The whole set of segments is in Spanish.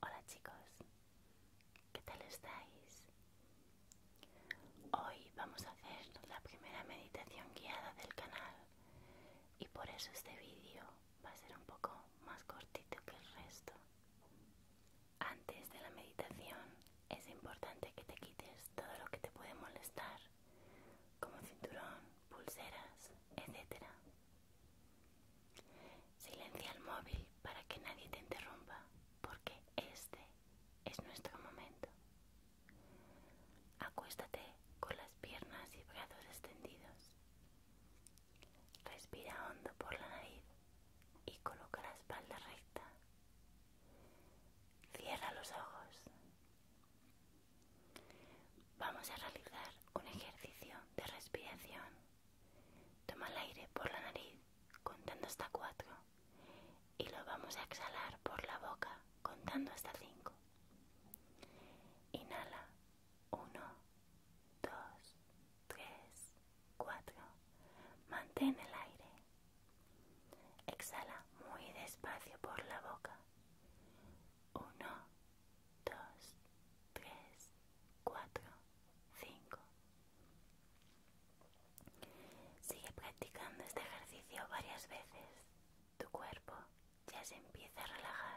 Hola chicos, ¿qué tal estáis? Hoy vamos a hacer la primera meditación guiada del canal y por eso este vídeo va a ser un poco más cortito que el resto. Antes de la meditación es importante que te quites todo lo que te puede molestar, como cinturón, pulseras, etc. Silencia el móvil para que nadie te interrumpa, porque este es nuestro momento. Acuéstate con las piernas y brazos extendidos. Respira hondo por la nariz y coloca la espalda recta. Cierra los ojos. Vamos a realizar un ejercicio de respiración Toma el aire por la nariz contando hasta 4 y lo vamos a exhalar por la boca contando hasta 5. Inhala 1, 2, 3, 4. Mantén el aire. Exhala muy despacio por la boca 1, 2, 3, 4, 5. Sigue practicando este ejercicio varias veces. Tu cuerpo ya se empieza a relajar.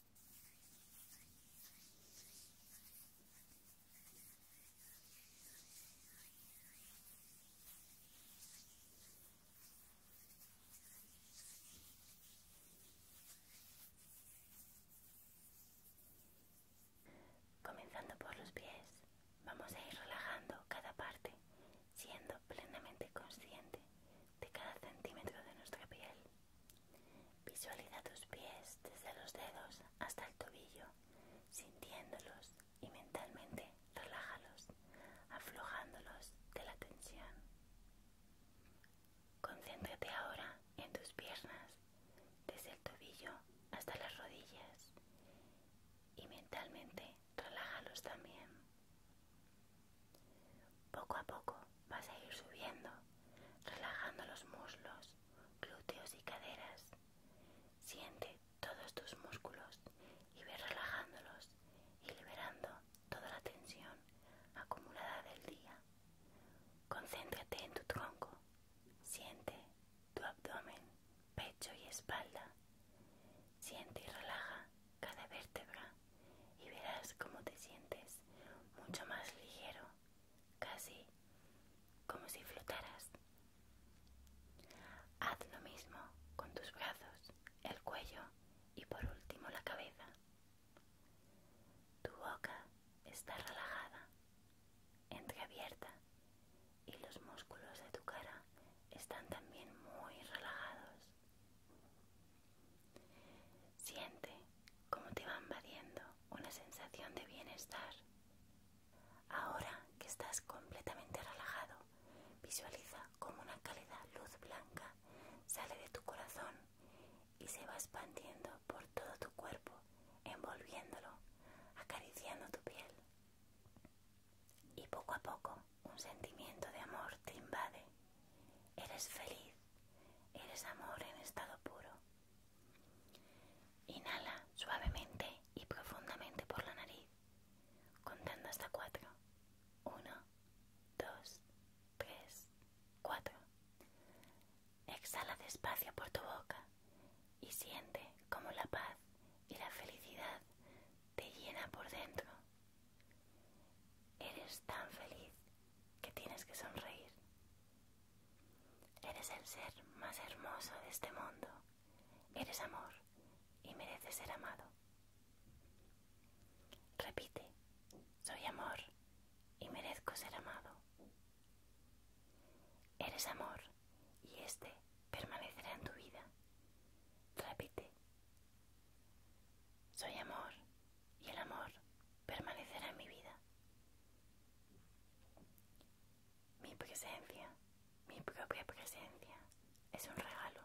Comenzando por los pies, vamos a ir relajando cada parte, siendo plenamente consciente de cada centímetro de nuestra piel. Visualiza tus pies desde los dedos hasta el tobillo, sintiéndolos y mentalmente relájalos, aflojándolos de la tensión. Concéntrate ahora en tus piernas, desde el tobillo hasta las rodillas, y mentalmente relájalos también. Poco a poco vas a ir subiendo, relajando los muslos, glúteos y caderas. Siente todos tus músculos y ve relajándolos y liberando toda la tensión acumulada del día. Concéntrate en tu tronco. Siente tu abdomen, pecho y espalda. Siente y relaja cada vértebra y verás cómo te sientes mucho más ligero casi como si flotaras. Haz lo mismo con tus brazos, el cuello y por último la cabeza. Tu boca está relajada, entreabierta y los músculos de tu cara están también muy relajados. Siente cómo te va invadiendo una sensación de bienestar. Ahora que estás completamente relajado, visualiza como una cálida luz blanca sale de tu corazón y se va expandiendo por todo tu cuerpo, envolviéndolo, acariciando tu piel. Y poco a poco un sentimiento de amor te invade. Eres feliz, eres amor en estado puro. Inhala suavemente y profundamente por la nariz, contando hasta cuatro. Uno, dos, tres, cuatro. Exhala despacio por tu boca y siente como la paz y la felicidad te llena por dentro. Eres tan feliz que tienes que sonreír. Eres el ser más hermoso de este mundo. Eres amor y mereces ser amado. Repite, soy amor y merezco ser amado. Eres amor y éste permanecerá en tu vida. Repite, soy amor y el amor permanecerá en mi vida. Mi presencia, mi propia presencia, es un regalo.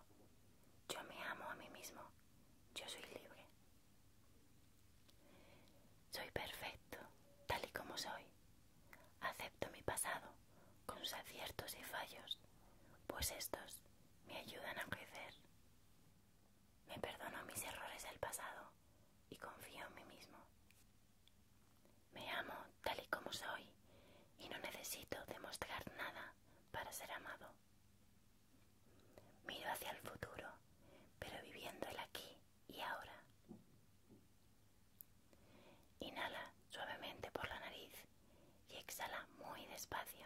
Yo me amo a mí mismo, yo soy libre. Soy perfecto, tal y como soy. Acepto mi pasado, con sus aciertos y fallos, pues estos me ayudan a crecer. Me perdono mis errores del pasado y confío en mí mismo. Me amo tal y como soy y no necesito demostrar nada para ser amado. Miro hacia el futuro, pero viviendo el aquí y ahora. Inhala suavemente por la nariz y exhala muy despacio.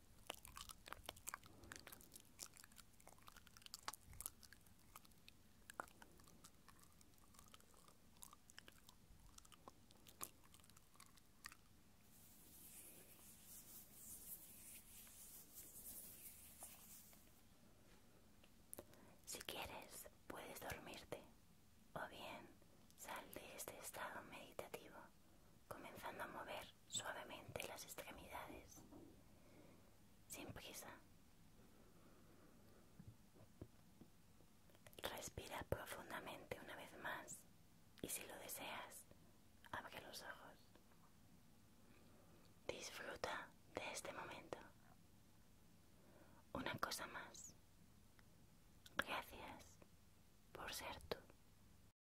Si quieres, puedes dormirte o bien sal de este estado meditativo comenzando a mover suavemente las extremidades, sin prisa. Respira profundamente una vez más y si lo deseas, abre los ojos. Disfruta de este momento. Una cosa más. Gracias por ser tú.